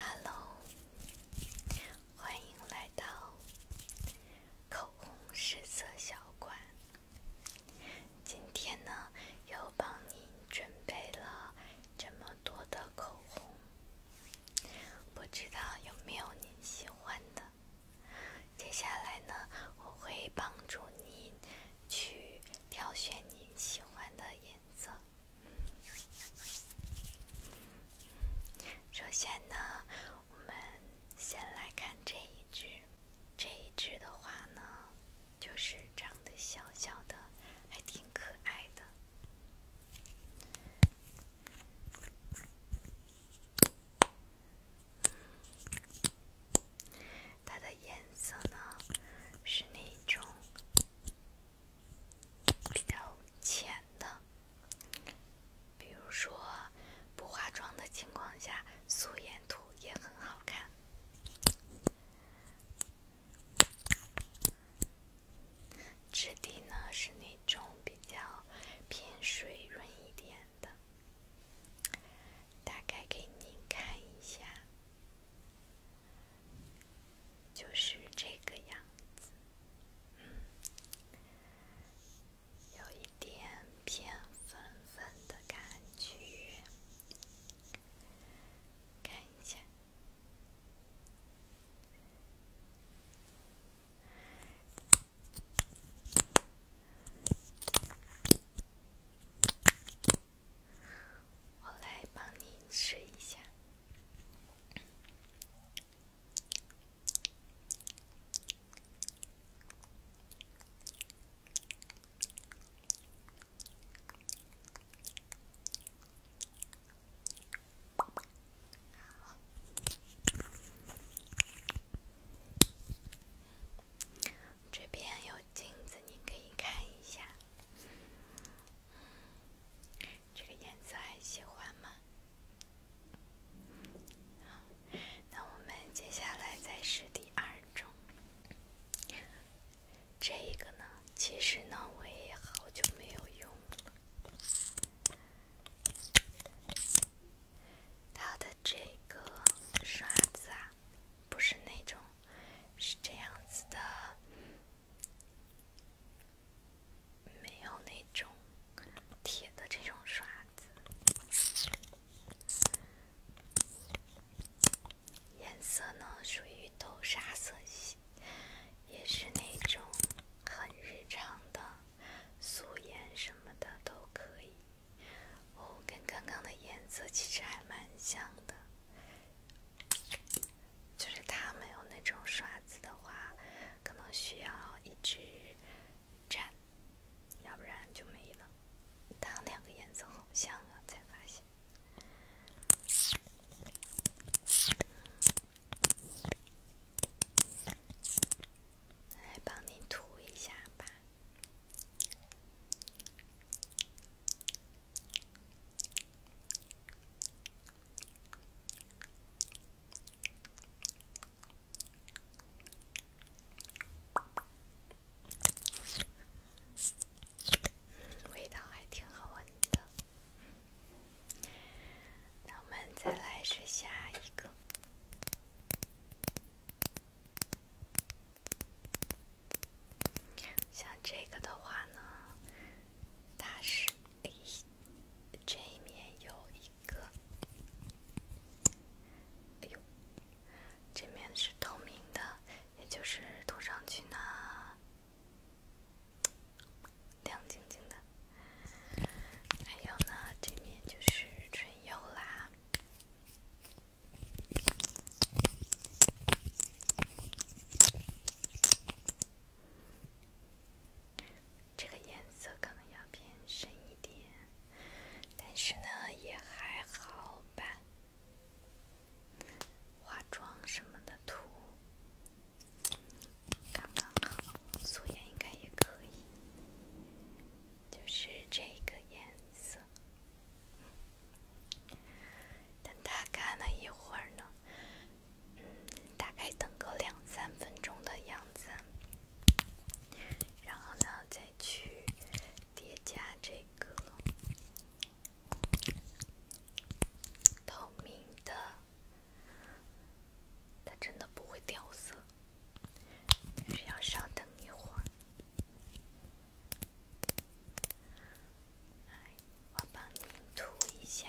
哈喽，欢迎来到口红试色小馆。今天呢，又帮您准备了这么多的口红，不知道有没有您喜欢的。接下来呢，我会帮助您去挑选您喜欢的颜色。首先呢，我们先来看这一只。这一只的话呢，就是长得小小的，还挺可爱的。它的颜色呢，是那种。比较浅的，比如说不化妆的情况下，素颜涂也很好看。质地呢是那种比较偏水润一点的，大概给您看一下。就是这个样子，嗯，有一点偏粉粉的感觉，看一下。我来帮你试一下。这边有镜子，你可以看一下。这个颜色还喜欢吗？那我们接下来再试第二种。这个呢，其实呢，我也好久没有用了。它的这个刷子。啊。不是那种，是这样子的，没有那种铁的这种刷子。颜色呢，属于豆沙色系，也是那种很日常的，素颜什么的都可以。哦，跟刚刚的颜色其实还蛮像的，就是他没有那种刷子的话，可能需要一直蘸，要不然就没了。他两个颜色好像啊，才发现。来帮你涂一下吧。味道还挺好闻的，那我们再来试下一个。像这个的话呢，它是这一面有一个，哎呦，这面是透明的，也就是涂上去呢，亮晶晶的。还有呢，这面就是唇釉啦。这个颜色可能要偏深一点，但是呢，也还好吧。化妆什么的涂。刚刚好，素颜应该也可以。就是这个颜色。等它干了一会儿呢，大概等个两三分钟的样子，然后呢，再去叠加这个透明的。它真的不会掉色，需要稍等一会儿。我帮您涂一下。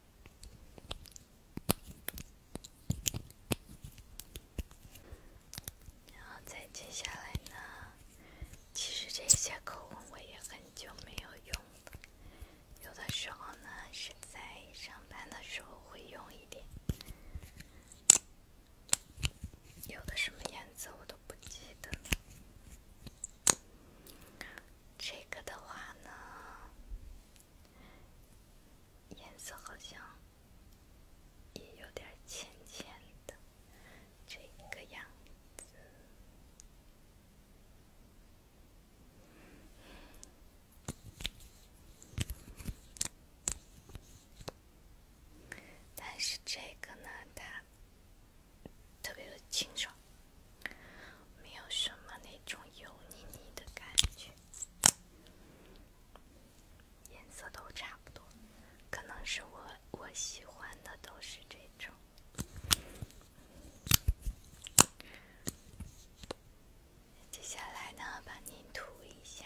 然后再接下来呢，其实这些口红我也很久没有用了，有的时候呢是在上班的时候会用一点，有的什么颜色我都不记得。这个的话呢，颜色好像也有点浅浅的这个样子，但是这个呢，它。特别的清爽，没有什么那种油腻腻的感觉，颜色都差不多，可能是我我喜欢的都是这种。接下来呢，把您涂一下。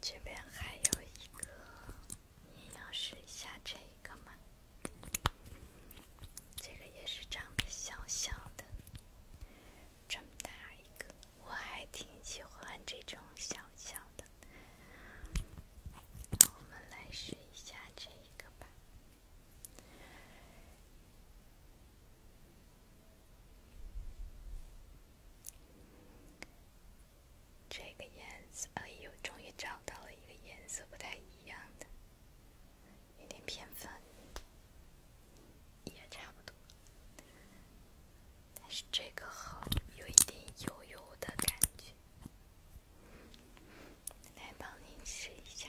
这边还有一个，你要试一下这个吗？这个也是长得小小的，这么大一个，我还挺喜欢这种小小的。我们来试一下这个吧。这个颜色，哎呦，终于找到了一个颜色不太一样的，有点偏粉，也差不多，但是这个好，有一点油油的感觉，来帮您试一下。